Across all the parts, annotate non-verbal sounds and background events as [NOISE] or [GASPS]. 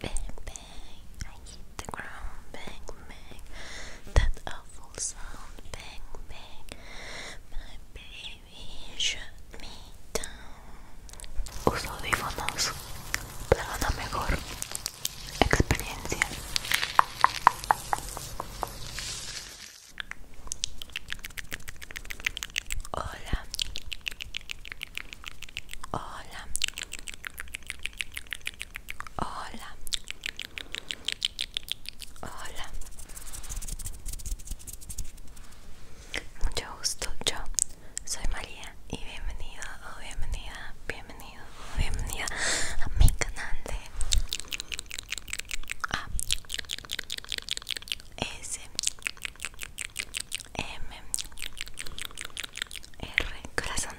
Bang bang, I hit the ground, bang bang, that awful sound, bang bang, my baby shut me down. Uso audífonos para una mejor experiencia. Hola, Hola. Hola. Hola. Mucho gusto, yo soy María y bienvenido o oh, bienvenida, bienvenido o oh, bienvenida a mi canal de A S M R corazón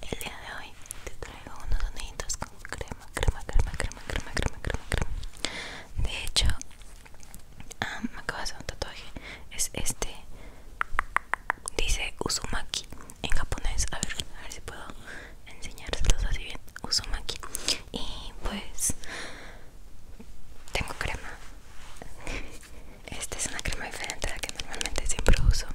el día de hoy te traigo unos soniditos con crema crema crema crema crema crema crema crema de hecho ah, me acabo de hacer un tatuaje es este dice Uzumaki en japonés a ver a ver si puedo enseñárselos así bien Uzumaki y pues tengo crema esta es una crema diferente a la que normalmente siempre uso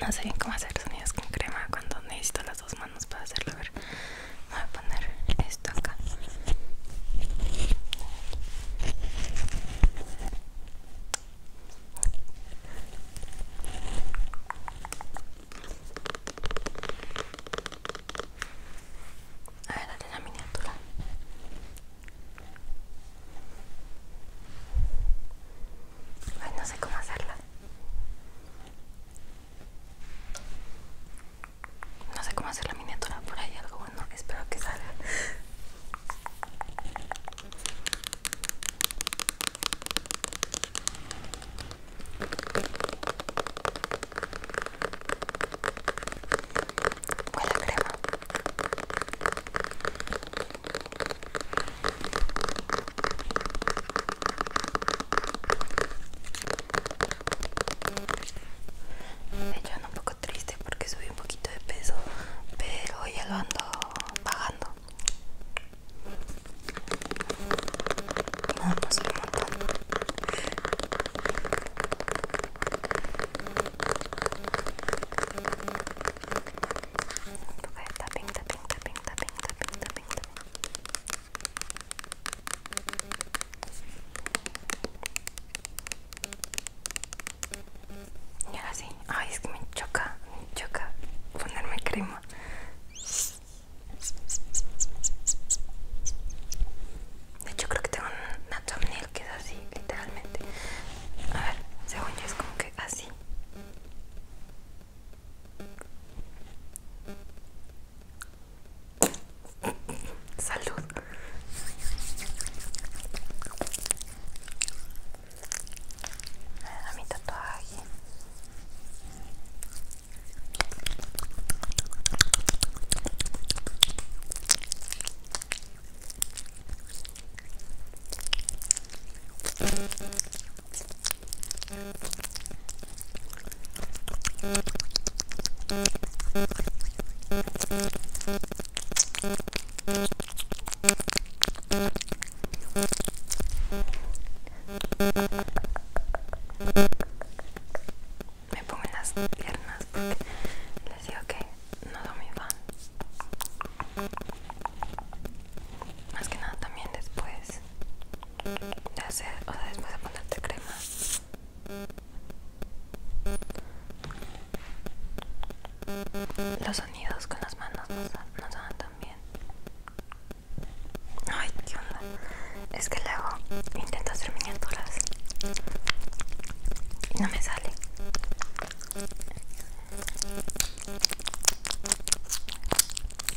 no sé bien cómo hacer sonidos con crema cuando necesito los dos manos para hacerlo. ver, voy a poner esto acá. A ver, la miniatura. no sé cómo hacerla. No sé cómo hacer la miniatura, por ahí algo bueno, espero que salga. crema. Me hecho ando un poco triste porque subí un poquito de peso, pero ya lo ando bajando. No, no soy un montón. Un poco de y ahora sí, ay es que me choca, me choca ponerme crema. De hecho creo que tengo una thumbnail que es así, literalmente. A ver, según yo es como que así. Salud. A mi tatuaje. Me pongo en las piernas porque les digo que no doy mi más que nada también después de hacer, o sea, después de ponerte crema. Los sonidos con las manos nos, dan también. Ay, qué onda. Es que luego intento hacer miniaturas y no me sale.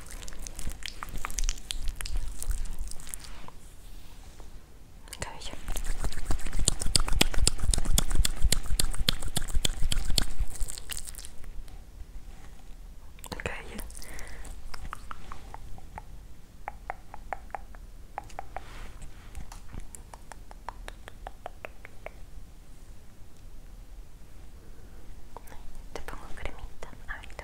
Okay. cabello. Te pongo cremita,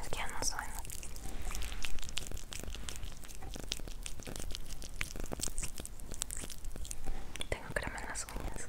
Es que ya no sueño Tengo crema en las uñas.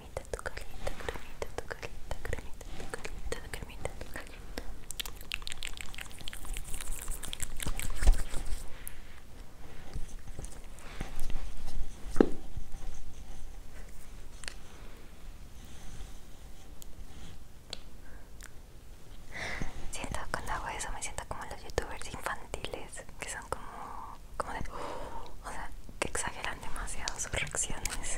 cremita tu Siento cuando hago eso me siento como los youtubers infantiles que son como, de, [GASPS] o sea, que exageran demasiado sus reacciones.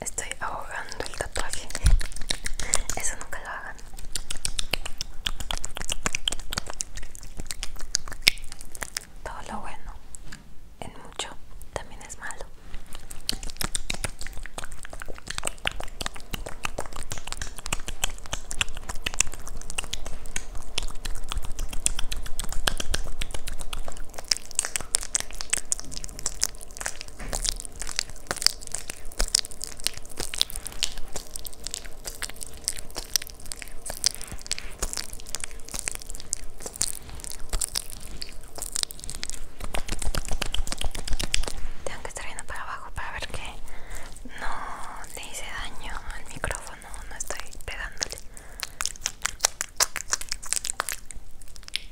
Estoy ahogando el tatuaje. Eso nunca lo hagan. Todo lo bueno en mucho también es malo. Tengo que estar viendo para abajo para ver que no le hice daño al micrófono, no estoy pegándole.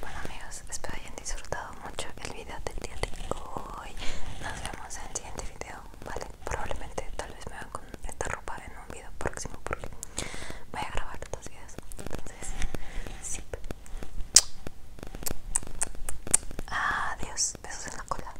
Bueno amigos, espero hayan disfrutado mucho el video del día de hoy. Nos vemos en el siguiente video, ¿vale? Probablemente tal vez me vaya con esta ropa en un video próximo porque voy a grabar estos videos. Entonces, sí. Adiós, besos en la cola.